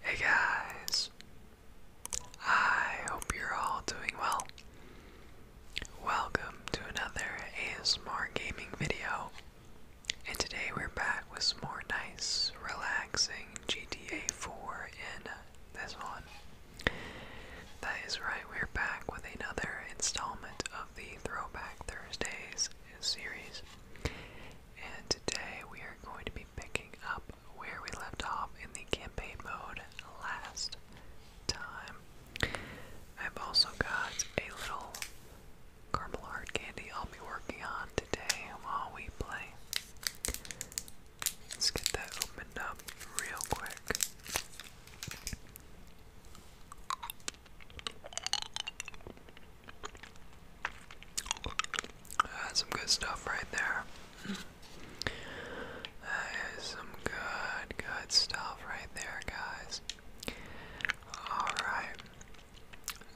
Hey guys, I hope you're all doing well. Welcome to another ASMR gaming video, and today we're back with some more nice, relaxing GTA 4 in this one. That is right, we're back with another installment of the Throwback Thursdays series. And today we are going to be picking up where we left off in the campaign mode last time. I've also got a little caramel hard candy I'll be working on today while we play. Let's get that opened up real quick. That's some good stuff right there. That is some good, good stuff right there, guys. Alright.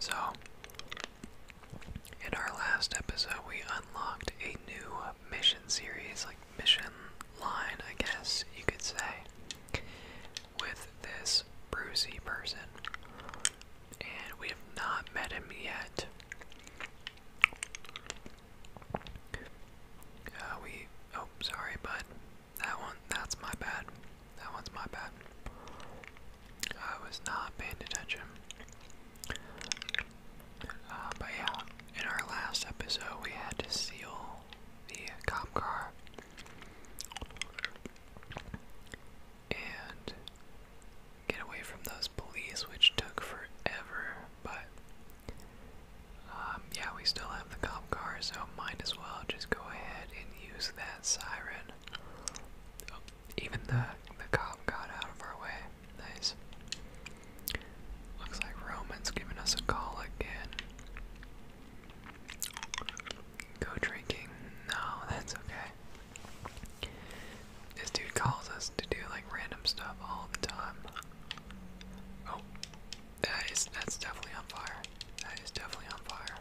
So, in our last episode, we unlocked a new mission series, mission line, I guess you could say, with this Brucey person. And we have not met him yet. Uh, we, oh, sorry, but That one, that's my bad. That one's my bad. I was not paying attention. Uh, but yeah, in our last episode, we had to seal the cop car. And get away from those police, which took forever. But um, yeah, we still have the cop car, so might as well just go ahead and use that siren. Oh, even the the cop got out of our way. Nice. Looks like Roman's giving us a call again. Go drinking. No, that's okay. This dude calls us to do like random stuff all the time. Oh, that is that's definitely on fire. That is definitely on fire.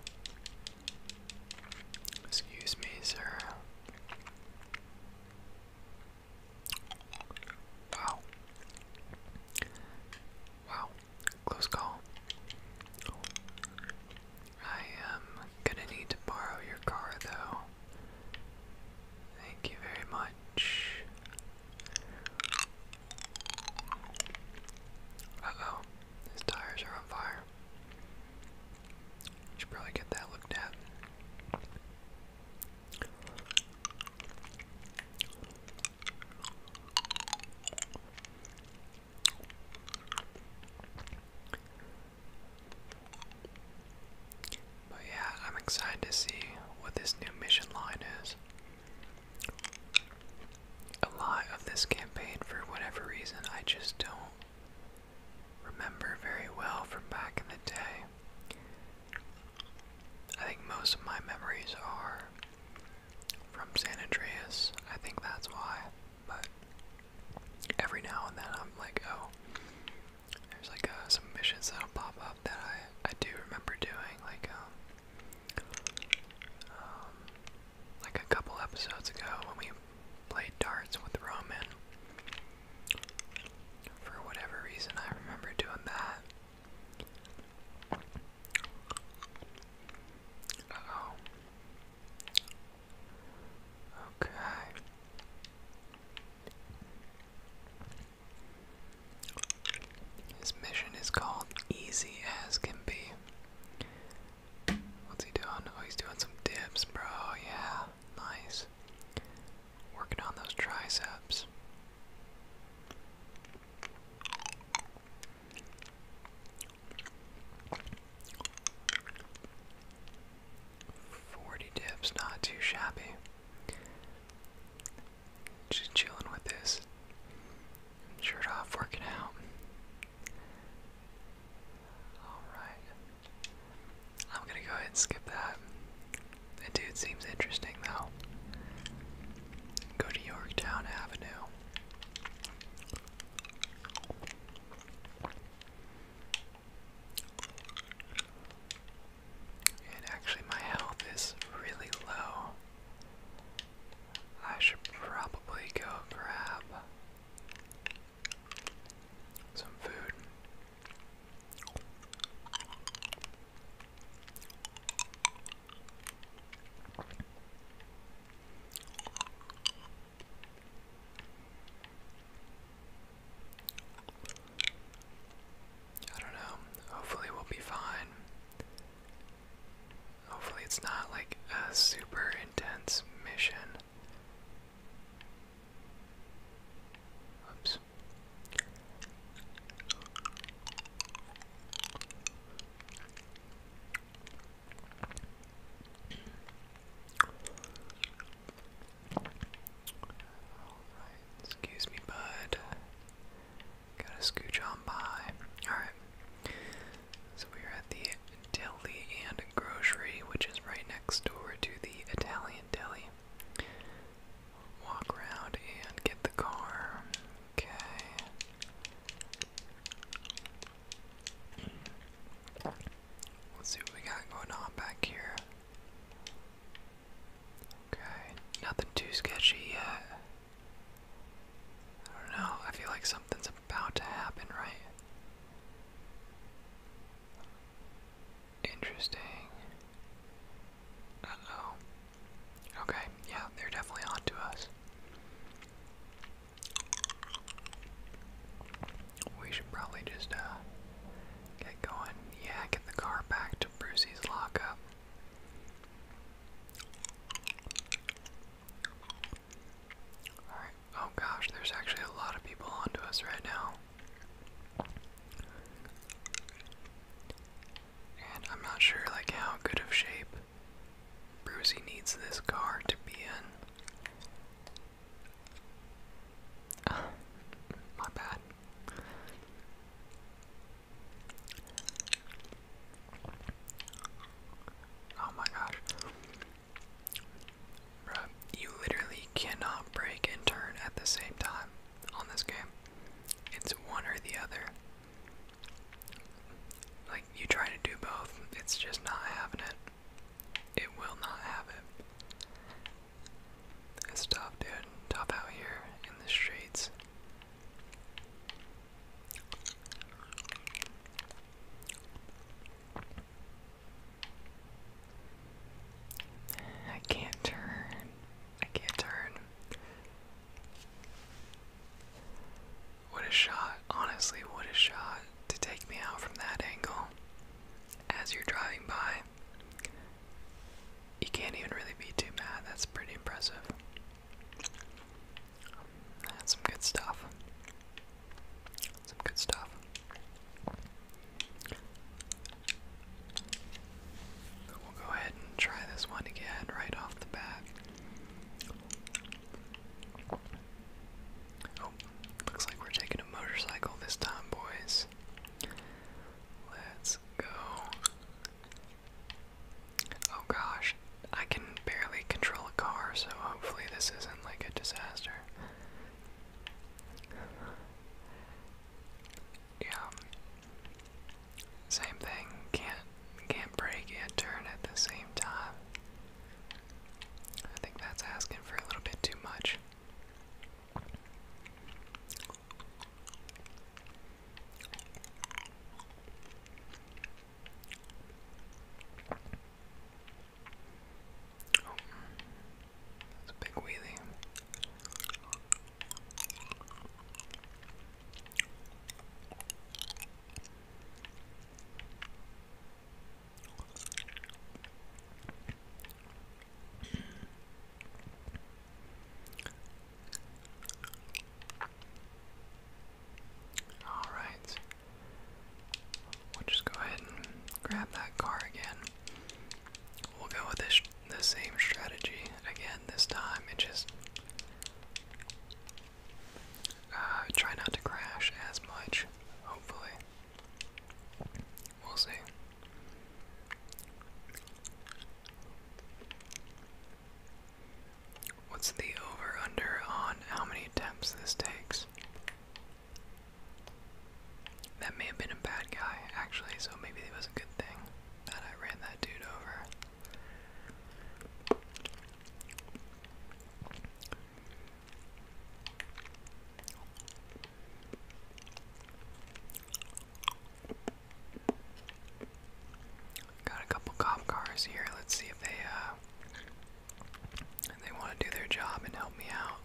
Excuse me, sir. Wow. Wow. Close call. I am gonna need to borrow your car though. Thank you very much. Uh oh, his tires are on fire. Should probably get that looked at. But yeah, I'm excited to see what this new mission line is. A lot of this campaign, for whatever reason, I just don't remember very well from back in the day. I think most of my memories are from San Andreas. I think that's why. But every now and then I'm like, oh, there's like uh, some missions that'll pop up that I I do remember doing. Like um, um like a couple episodes ago when we played darts with Roman. For whatever reason, I remember doing that. Okay. His mission is called Easy As Can Be. What's he doing? Oh, he's doing some dips, bro. Yeah, nice. Working on those triceps. Forty dips, not too shabby. Just chilling with this shirt off, working out. Alright. I'm gonna go ahead and skip that. That dude seems interesting though. Go to Yorktown Avenue. And actually, my health is really low. I should probably go grab some food. I don't know. Hopefully, we'll be fine. Hopefully, it's not like a super intense mission. Oops excuse me, bud. Gotta scooch on by. Alright. So we are at the deli and grocery, which is right next door to the Italian deli walk around and get the car. Okay. Let's see what we got going on back here. Okay, nothing too sketchy yet. I don't know, I feel like something's about to happen, right? Interesting. Uh Okay, yeah, they're definitely on to us. We should probably just uh get going. Yeah, get the car back to Brucey's lockup. Alright. Oh gosh, there's actually a lot of people on to us right now. And I'm not sure like how good of shape Brucey needs this car to be in. my bad. Oh my gosh. you literally cannot break and turn at the same time on this game. It's one or the other. Like, you try to do both, it's just not having it. It will not have it. It's tough, dude. Tough out here in the streets. I can't turn. I can't turn. What a shot. Honestly, what a shot to take me out from that angle as you're driving by. You can't even really be too mad. That's pretty impressive. That's some good stuff. Some good stuff. We'll go ahead and try this one again right off the bat. Oh, looks like we're taking a motorcycle this time, boys. Let's go. Oh gosh, I can barely control a car, so hopefully this isn't like a disaster yeah. Same thing. Can't can't break and turn at the same time. I think that's asking for a little bit too much. Oh. That's a big wheelie. All right. We'll just go ahead and grab that car again. We'll go with the same strategy again this time and just uh, try not to crash as much, hopefully. We'll see. What's the over under on how many attempts this takes? That may have been a bad guy, actually, so maybe it was a good thing that I ran that dude over. Got a couple cop cars here. Let's see if they uh they want to do their job and help me out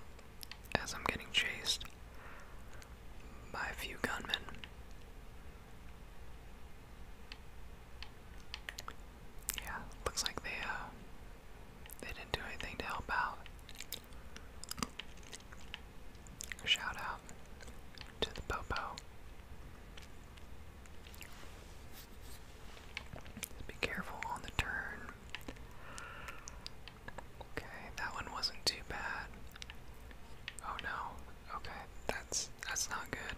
as I'm getting chased by a few gunmen. Yeah, looks like they uh, they didn't do anything to help out. Shout out to the Popo. Be careful on the turn. Okay, that one wasn't too bad. Oh no. Okay, that's that's not good.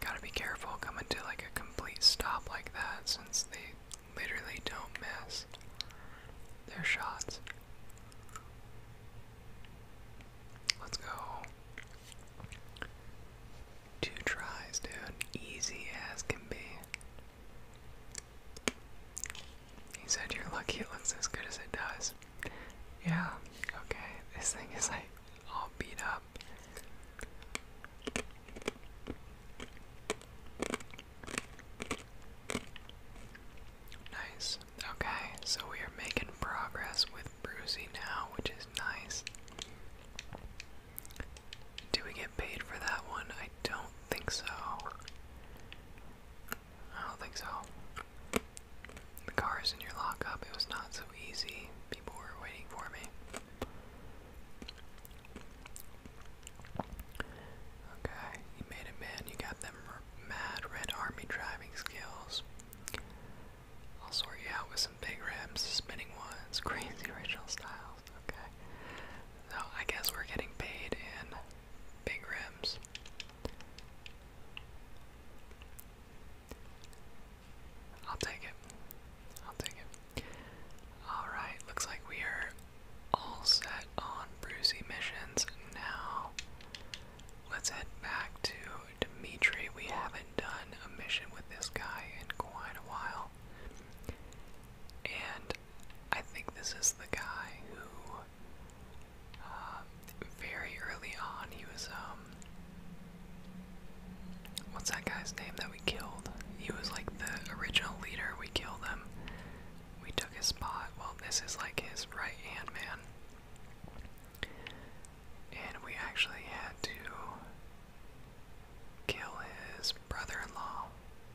Gotta be careful coming to like a complete stop like that since they literally don't miss their shots. Let's go. Two tries, dude. Easy as can be. He said, You're lucky it looks as good as it does. Yeah, okay. This thing is like all beat up. Nice. Okay, so we are making progress with Bruisey now, which is nice. Do we get paid for that one? I don't think so. I don't think so. The car in your lockup. It was not so easy. People were waiting for me. Okay, you made it, man. You got them mad red army driving skills. I'll sort you out with some big rims, spinning ones, crazy original style. Okay. So I guess we're getting paid in big rims. I'll take it. I'll take it. Alright, looks like we are all set on Brucey missions now. Let's head back to Dimitri. We haven't done a mission with this guy in quite a while. And I think this is the guy who, um, very early on, he was, um, what's that guy's name that we killed? He was like the original leader. We killed him. We took his spot. Well, this is like his right hand man. And we actually had to kill his brother in law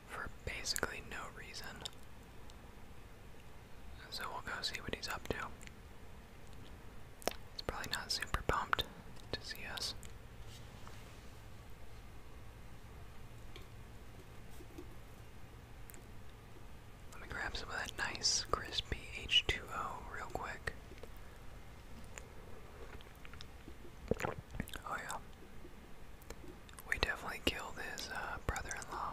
for basically no reason. So we'll go see what he's up to. He's probably not super pumped to see us. Let me grab some of that nice crispy H2O real quick. Oh yeah. We definitely killed his uh, brother-in-law.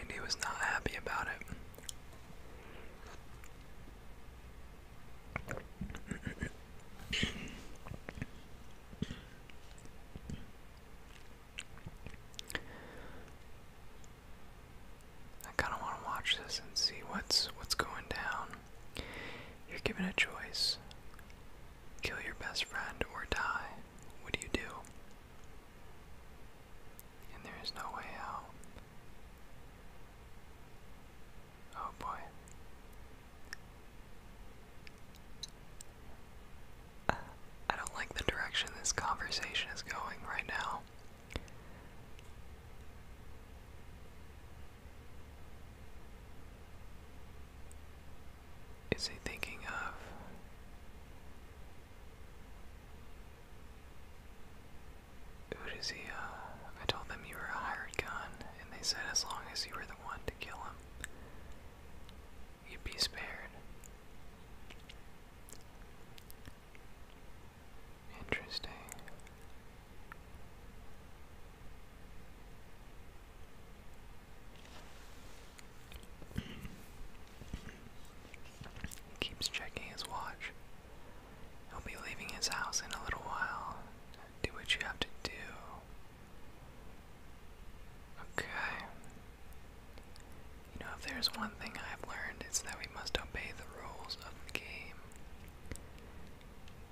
And he was not happy about it. I kind of want to watch this and see what's what's going down. You're given a choice: kill your best friend or die. What do you do? And there is no way out. Oh boy. I don't like the direction this conversation is going right now. Is he thinking of? Who does he, uh, I told them you were a hired gun, and they said as long as you were the one to kill him, you'd be spared. Interesting. Keeps checking his watch. He'll be leaving his house in a little while. Do what you have to do. Okay. You know, if there's one thing I've learned, it's that we must obey the rules of the game.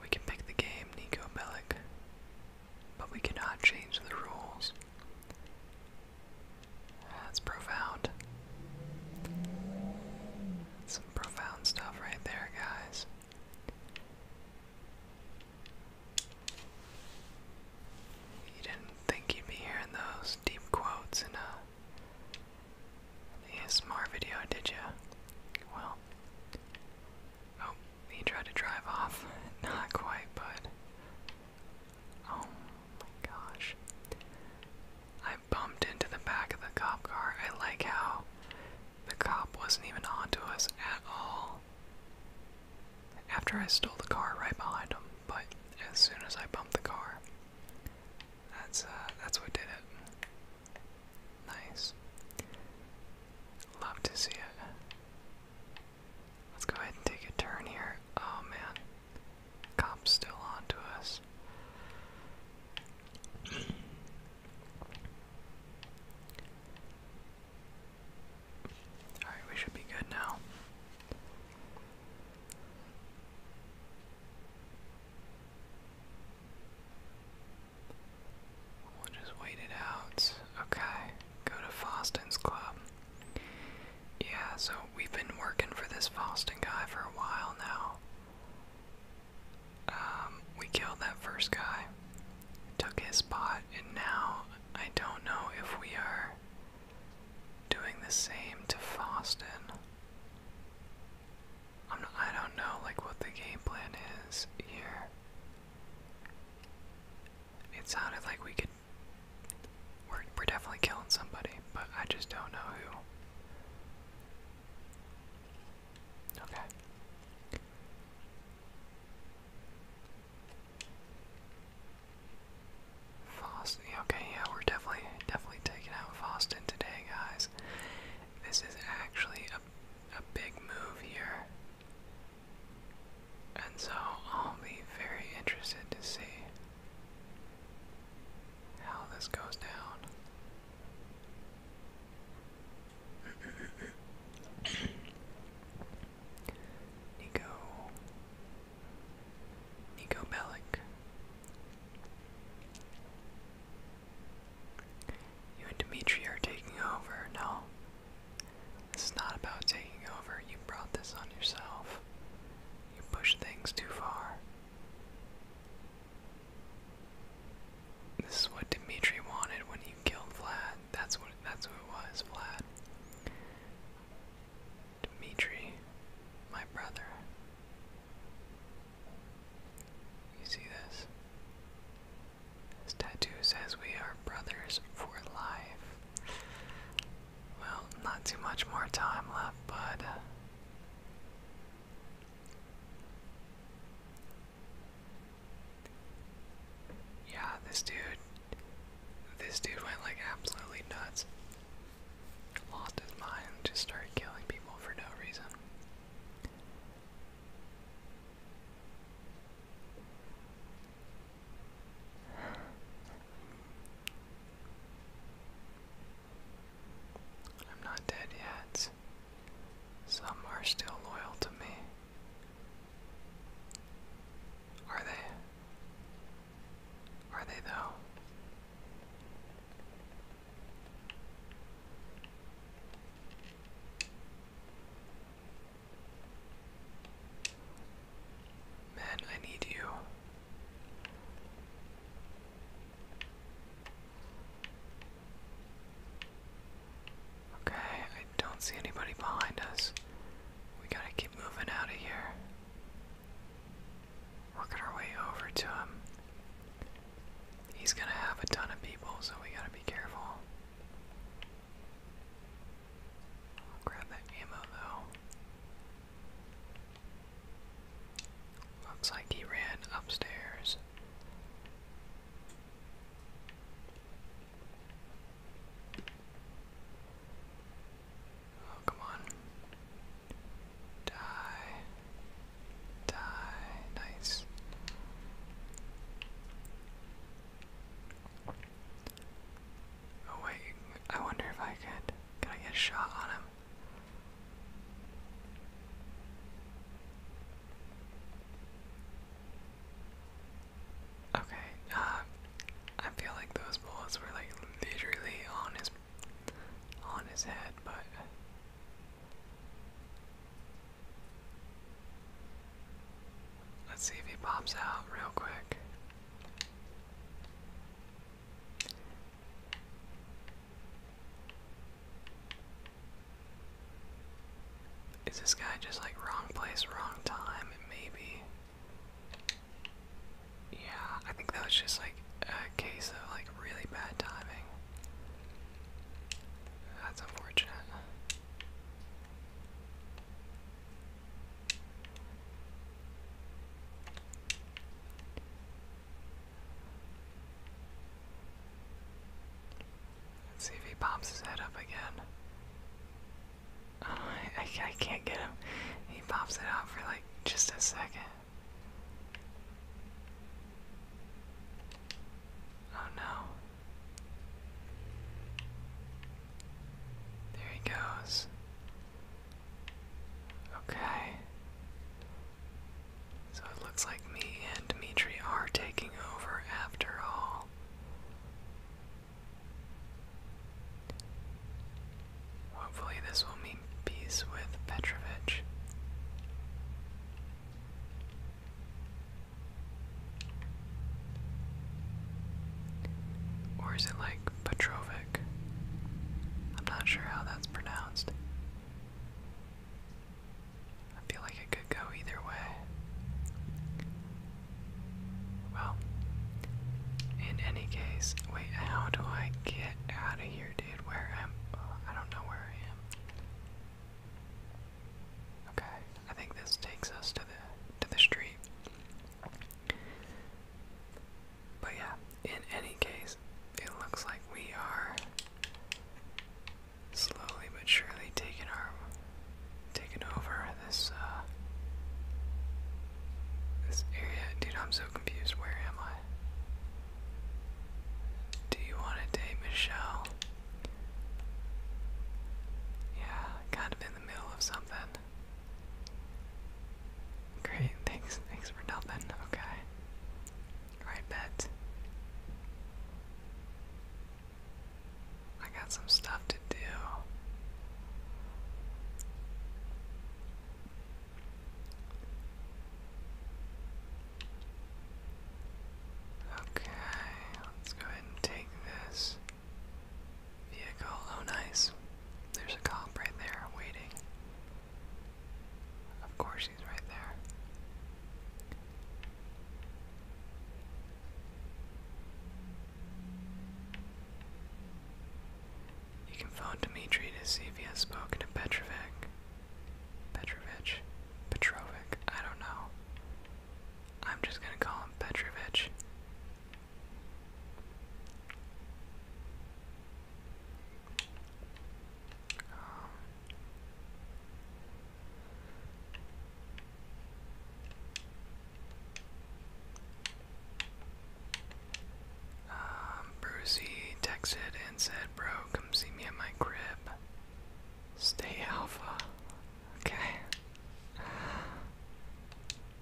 We can pick the game, Nico Bellic, but we cannot change the rules. That's profound. some profound stuff right there, guys. You didn't think you'd be hearing those deep quotes in the ASMR video, did you? Well, oh, he tried to drive off. Not quite, but oh my gosh. I bumped into the back of the cop car. I like how the cop wasn't even onto us at all. After I stole the car right behind him, but as soon as I bumped the car, that's uh, that's what did it. Nice. Love to see it. Let's go ahead and take a turn here. Oh man, cop's still on to us. Alright, we should be good now. We'll just wait it out. Okay, go to Faustin's Club. Yeah, so we've been working for this Faustin guy for a while now. Um, we killed that first guy, took his spot, and now I don't know if we are doing the same to Faustin i don't know like what the game plan is here. It sounded like we could. We're, we're definitely killing somebody, but I just don't know who. Okay. Foss Okay, yeah, we're definitely definitely taking out Foston today, guys. This is actually a a big move here. And so I'll be very interested to see how this goes down. Nico Nico Bellic. You and Dimitri are taking over. No. This is not about taking over. You brought this on yourself. You pushed things too far. This is what Dimitri wanted when he killed Vlad. That's what that's what it was, Vlad. Dmitri, my brother. You see this? This tattoo says we are brothers for life. Well, not too much more time left, bud. Yeah, this dude, this dude went like absolutely nuts lost his mind, just started killing people for no reason. I'm not dead yet. Some are still loyal to me. Are they? Are they though? Man, I need you. Okay, I don't see anybody behind us. We gotta keep moving out of here. Working our way over to him. He's gonna have a ton of people, so we gotta be careful. grab that ammo though. Looks like he ran upstairs. Oh, come on. Die. Die. Nice. Oh, wait. I wonder if I could. Can I get a shot on him? Okay, uh, I feel like those bullets were like literally on his on his head, but let's see if he pops out real quick. Is this guy just like wrong place, wrong time? Maybe. Yeah, I think that was just like a case of like really bad timing. That's unfortunate. see if he pops his head up again. Oh, I, I can't get him. He pops it out for like just a second. Oh no. There he goes. Okay. So it looks like me and Dimitri are taking over after all. Hopefully, this will mean peace with Petrovich. Or is it like Petrovic? I'm not sure how that's pronounced. I feel like it could go either way. Well, in any case, wait, how do I get out of here? dude. Where am uh, I? Don't know where I am. Okay, I think this takes us to the to the street. But yeah, in any case, it looks like we are slowly but surely taking our taking over this uh, this area. Dude, I'm so confused. Where am I? Do you want to date Michelle? Yeah, kind of in the middle of something. Great, thanks, thanks for nothing. Okay. Alright, bet. I got some stuff to do. Okay, let's go ahead and take this vehicle. Oh, nice. There's a cop right there waiting. Of course, he's right there. You can phone Dmitri to see if he has spoken to Petrovic. Petrovich? Petrovich. I don't know. I'm just gonna call him Petrovich. Um. Um, Brucey texted and said, Bro, come see me at my crib. Stay alpha. Okay.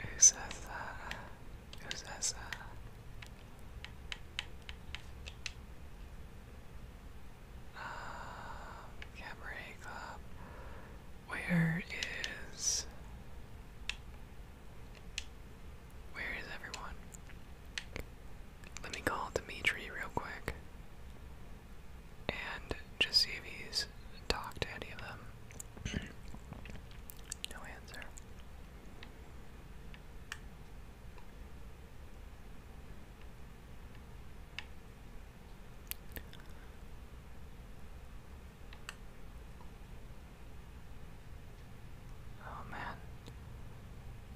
Who says that? Who says that? Uh, Cabaret Club. Where is where is everyone? Let me call Dimitri real quick and just see if he's talked to any of them. no answer. Oh man.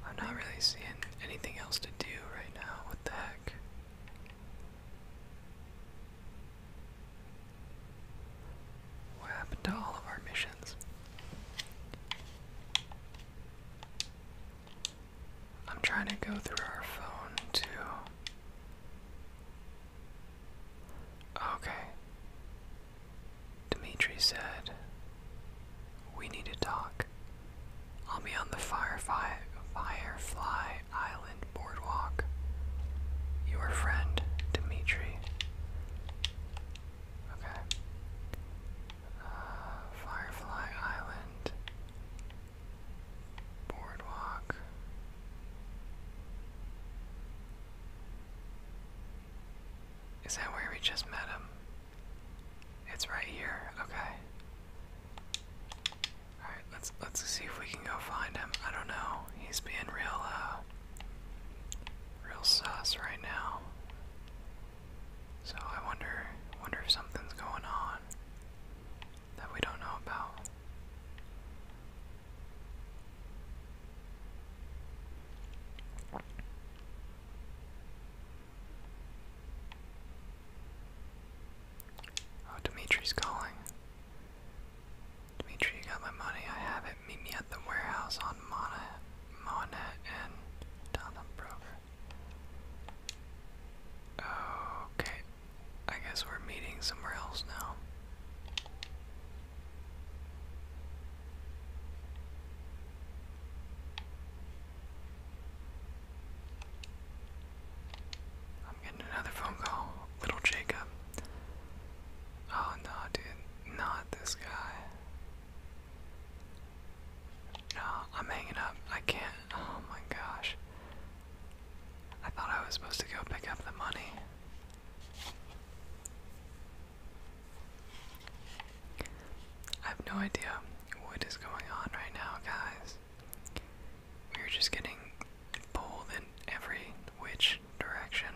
I'm not really seeing anything else to do right now. What the heck? What happened to all of our missions? I'm trying to go through our phone too. Okay. Dimitri said, We need to talk. I'll be on the Firefly, Island boardwalk. Your friend, Dimitri. Okay. Uh, firefly Island. Boardwalk. Is that where we just met him? It's right here. Okay. All right, let's let's see if we can go find him. I don't know. He's being real uh real sus right now. So I wonder wonder if something's going on that we don't know about. Oh, Dimitri's calling. Dimitri, you got my money. I have it. Meet me at the warehouse on Monet, Monet and Donald Broker. Okay, I guess we're meeting somewhere else now. I'm getting another phone call. Little Jacob. Oh no, dude. Not this guy. No, I'm hanging up. I can't. Oh my gosh. I thought I was supposed to go pick up the money. I have no idea what is going on right now, guys. We're just getting pulled in every which direction.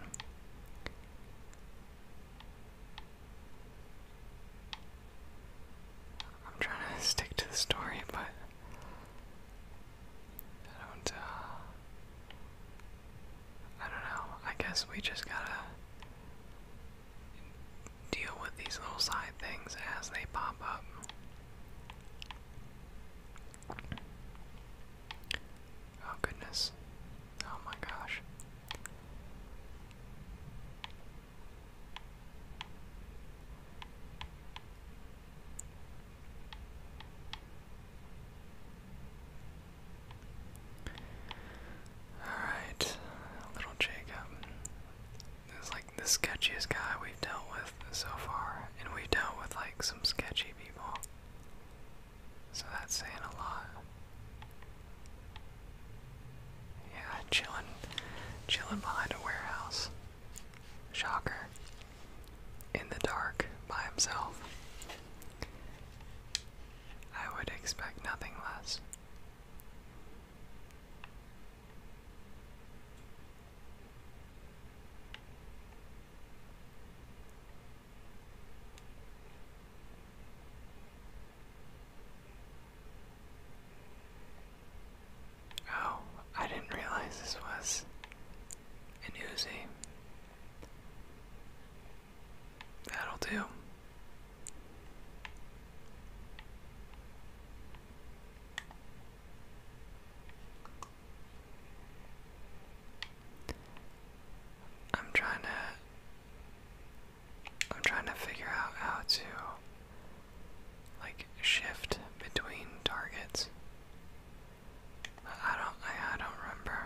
I'm trying to stick to the story, but I don't, uh, I don't know. I guess we just gotta deal with these little side things as they pop up. Oh goodness. Oh my gosh. Alright, little Jacob is like the sketchiest guy we've dealt with so far, and we've dealt with like some sketchy people. So that's saying a lot. Yeah, chilling, chilling behind a warehouse. Shocker in the dark by himself. I would expect nothing less. Oh, I didn't realize this was and Uzi. That'll do. I'm trying to I'm trying to figure out how to like shift between targets. I don't I, I don't remember.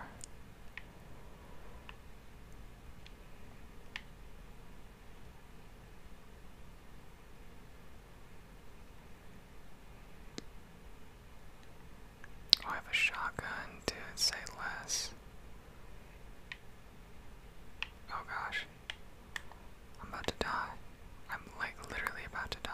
Oh, I have a shotgun, dude, say less. Oh gosh. I'm about to die. I'm like literally about to die.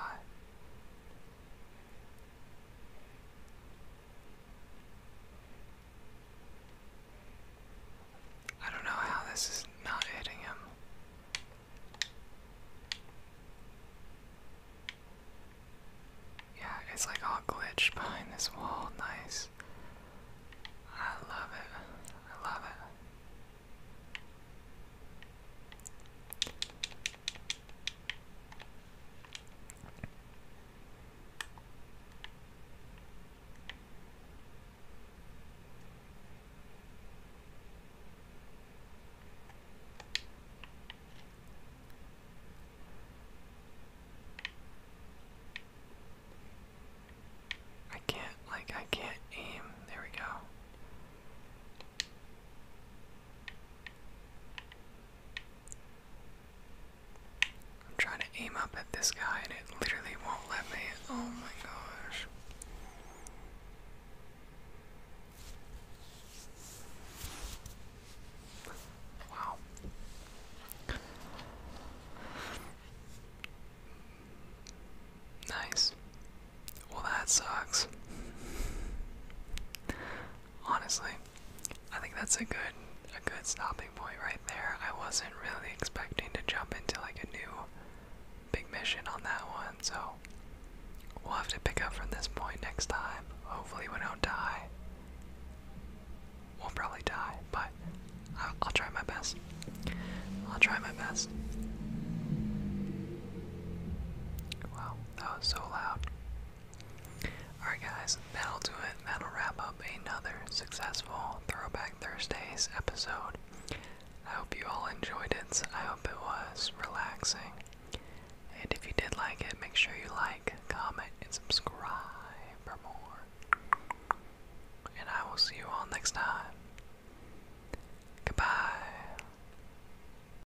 I don't know how this is not hitting him. Yeah, it's like all glitched behind this wall. Nice. I love it. I love it. I can't, like, I can't aim. There we go. I'm trying to aim up at this guy and it literally won't let me. Oh my gosh. Wow. Nice. Well, that sucks honestly. I think that's a good a good stopping point right there. I wasn't really expecting to jump into like a new big mission on that one, so we'll have to pick up from this point next time. Hopefully we don't die. We'll probably die, but I'll, try my best. I'll try my best. Wow, that was so loud. Alright, guys, that'll do it. That'll wrap up another successful Throwback Thursdays episode. I hope you all enjoyed it. I hope it was relaxing. And if you did like it, make sure you like, comment, and subscribe for more. And I will see you all next time. Goodbye.